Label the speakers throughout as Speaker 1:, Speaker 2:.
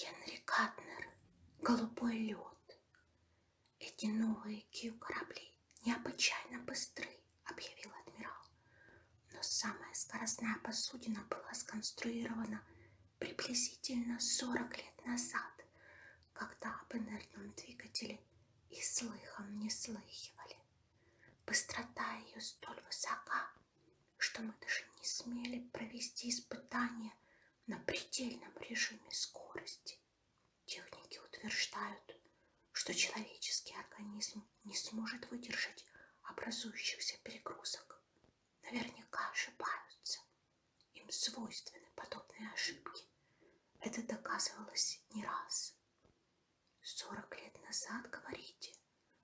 Speaker 1: Генри Катнер, голубой лед. Эти новые кью корабли необычайно быстры объявил адмирал. Но самая скоростная посудина была сконструирована приблизительно 40 лет назад, когда об инертном двигателе и слыхом не слыхивали. Быстрота ее столь высока, что мы даже не смели провести испытания на предельном режиме скорости. Техники утверждают, что человеческий организм не сможет выдержать образующихся перегрузок. Наверняка ошибаются. Им свойственны подобные ошибки. Это доказывалось не раз. Сорок лет назад, говорите,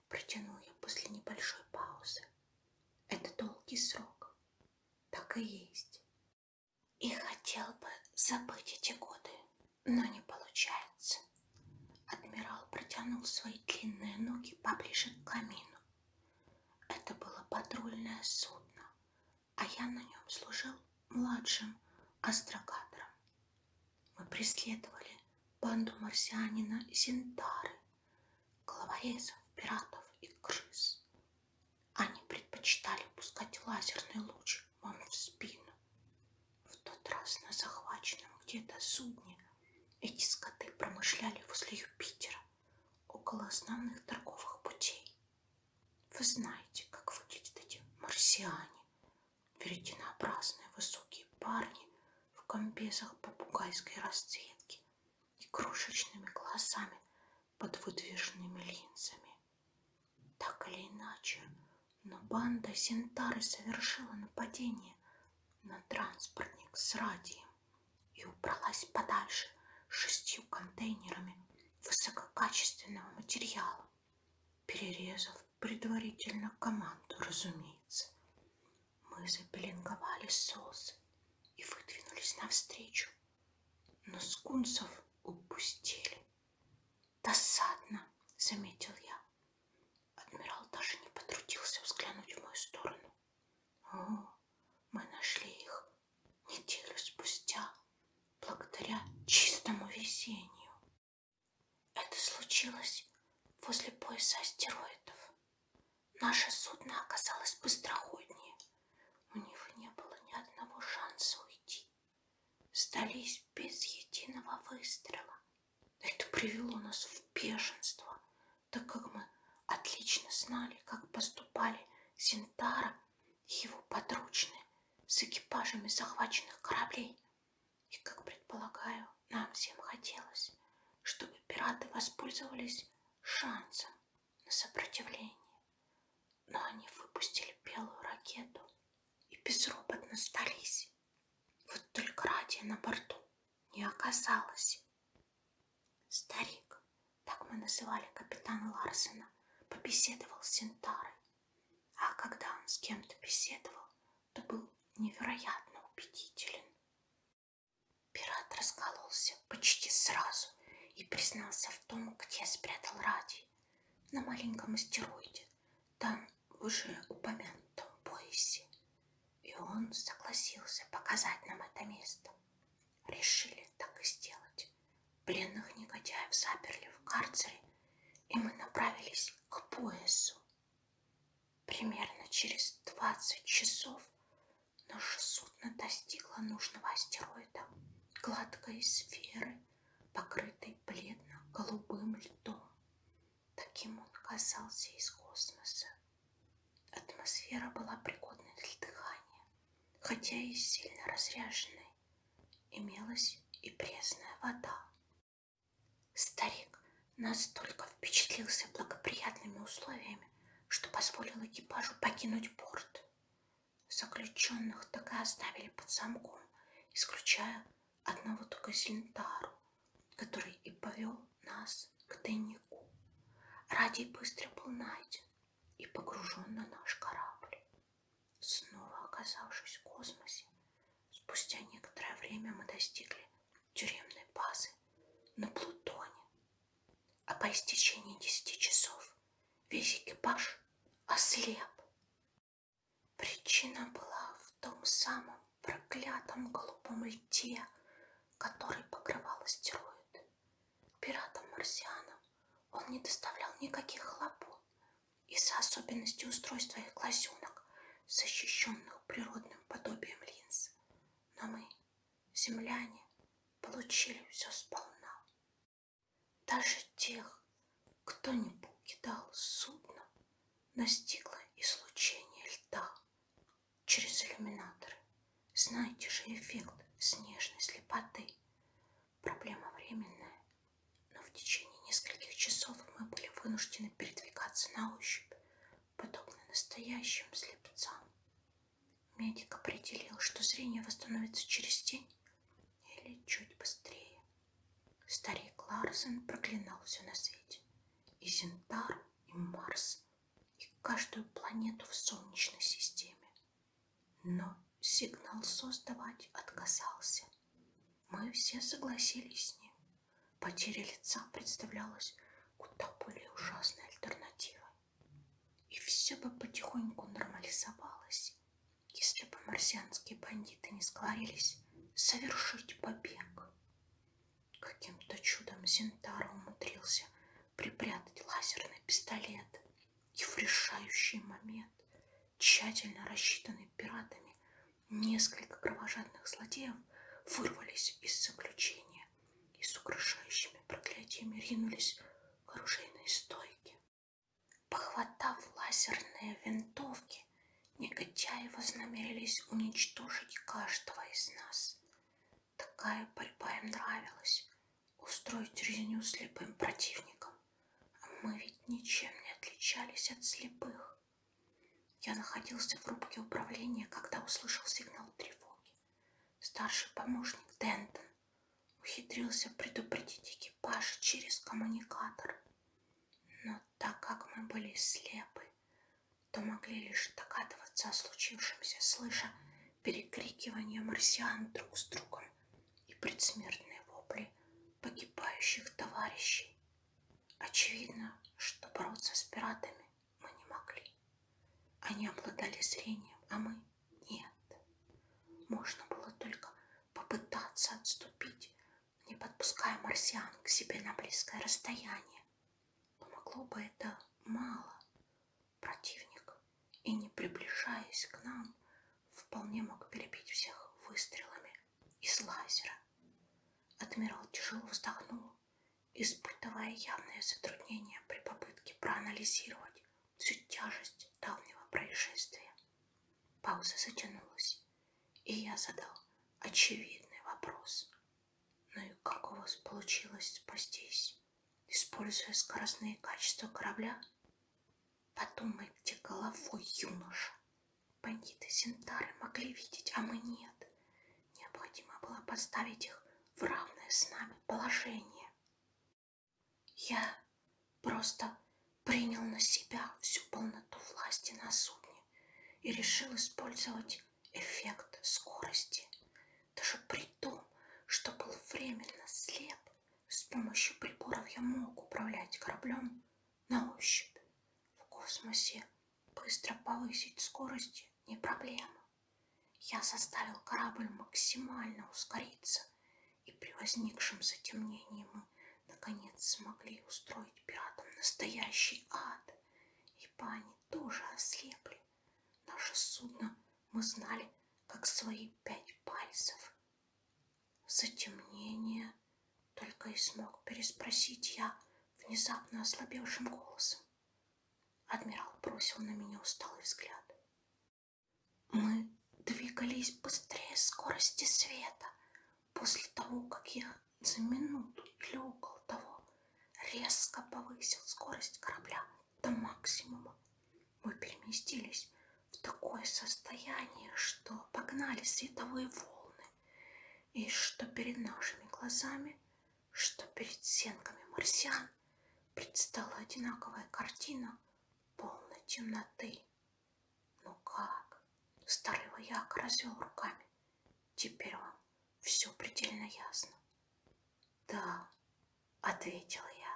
Speaker 1: протяну я после небольшой паузы. Это долгий срок. Так и есть. И хотел бы забыть эти годы, но не получается. Адмирал протянул свои длинные ноги поближе к камину. Это было патрульное судно, а я на нем служил младшим астрокатором. Мы преследовали банду марсианина Зинтары, головорезов, пиратов и крыс. Они предпочитали пускать лазерный луч вам в спину, в тот раз на захваченном где-то судне эти скоты промышляли возле Юпитера, около основных торговых путей. Вы знаете, как выглядят эти марсиане, веретенообразные высокие парни в комбезах попугайской расцветки и крошечными глазами под выдвижными линзами. Так или иначе, но банда Синтары совершила нападение на транспортник с радием и убралась подальше шестью контейнерами высококачественного материала, перерезав предварительно команду, разумеется. Мы запеленговали соус и выдвинулись навстречу, но скунсов упустили. Досадно, заметил я. Адмирал даже не потрудился взглянуть в мою сторону. О, мы нашли их неделю спустя, благодаря чистому везению. Это случилось возле пояса астероидов. Наше судно оказалось быстроходнее. У них не было ни одного шанса уйти сдались без единого выстрела. Это привело нас в бешенство, так как мы отлично знали, как поступали Синтара и его подручные с экипажами захваченных кораблей. И, как предполагаю, нам всем хотелось, чтобы пираты воспользовались шансом на сопротивление но они выпустили белую ракету и безропотно сдались. Вот только Радия на борту не оказалось. Старик, так мы называли капитана Ларсена, побеседовал с Синтарой. А когда он с кем-то беседовал, то был невероятно убедителен. Пират раскололся почти сразу и признался в том, где спрятал Ради на маленьком астероиде, там уже упомянутом поясе. И он согласился показать нам это место. Решили так и сделать. Пленных негодяев заперли в карцере, и мы направились к поясу. Примерно через 20 часов наше судно достигло нужного астероида, гладкой сферы, покрытый бледно-голубым льдом. Таким он казался из космоса. Атмосфера была пригодной для дыхания, хотя и сильно разряженной. Имелась и пресная вода. Старик настолько впечатлился благоприятными условиями, что позволил экипажу покинуть порт заключенных так и оставили под замком, исключая одного только Зельнтару, который и повел нас к тайнику. Радий быстро был найден и погружен на наш корабль. Снова оказавшись в космосе, спустя некоторое время мы достигли тюремной базы на Плутоне, а по истечении десяти часов весь экипаж ослеп. Причина была в том самом проклятом голубом льде, который покрывал астероид. Пиратам-марсианам он не доставлял никаких хлопот из-за особенностей устройства их глазенок, защищенных природным подобием линз. Но мы, земляне, получили все сполна. Даже тех, кто не покидал судно, настигло излучение льда через иллюминаторы. Знаете же эффект снежной слепоты. Проблема временная, но в течение нескольких часов мы были вынуждены передвигаться на ощупь, подобно настоящим слепцам. Медик определил, что зрение восстановится через день или чуть быстрее. Старик Ларсен проклинал все на свете. И Зентар, и Марс, и каждую планету в Солнечной системе. Но сигнал создавать отказался. Мы все согласились с ним. Потеря лица представлялась куда более ужасной альтернативой. И все бы потихоньку нормализовалось, если бы марсианские бандиты не сговорились совершить побег. Каким-то чудом Зентара умудрился припрятать лазерный пистолет и в решающий момент, тщательно рассчитанный пиратами, несколько кровожадных злодеев вырвались из заключения и с угрожающими проклятиями ринулись к оружейной стойке. Похватав лазерные винтовки, негодяи вознамерились уничтожить каждого из нас. Такая борьба им нравилась. Устроить резню слепым противником. А мы ведь ничем не отличались от слепых. Я находился в рубке управления, когда услышал сигнал тревоги. Старший помощник Дентон ухитрился предупредить экипаж через коммуникатор. Но так как мы были слепы, то могли лишь догадываться о случившемся, слыша перекрикивание марсиан друг с другом и предсмертные вопли погибающих товарищей. Очевидно, что бороться с пиратами мы не могли. Они обладали зрением, а мы нет. Можно было только попытаться отступить, не подпуская марсиан к себе на близкое расстояние. Помогло бы это мало. Противник, и не приближаясь к нам, вполне мог перебить всех выстрелами из лазера. Адмирал тяжело вздохнул, испытывая явное затруднение при попытке проанализировать всю тяжесть давнего происшествия. Пауза затянулась, и я задал очевидный вопрос. Ну и как у вас получилось спастись, используя скоростные качества корабля? Подумайте головой, юноша. Бандиты Сентары могли видеть, а мы нет. Необходимо было поставить их в равное с нами положение. Я просто принял на себя всю полноту власти на судне и решил использовать эффект скорости. Даже при том, что был временно слеп, с помощью приборов я мог управлять кораблем на ощупь. В космосе быстро повысить скорость не проблема. Я заставил корабль максимально ускориться, и при возникшем затемнении мы наконец смогли устроить пиратам настоящий ад. Ибо они тоже ослепли. Наше судно мы знали как свои пять пальцев. Затемнение только и смог переспросить я внезапно ослабевшим голосом. Адмирал бросил на меня усталый взгляд. Мы двигались быстрее скорости света. После того, как я за минуту или около того резко повысил скорость корабля до максимума, мы переместились в такое состояние, что погнали световые волны, и что перед нашими глазами, что перед сенками марсиан предстала одинаковая картина полной темноты. Ну как? Старый вояк развел руками. Теперь вам все предельно ясно. Да, ответила я.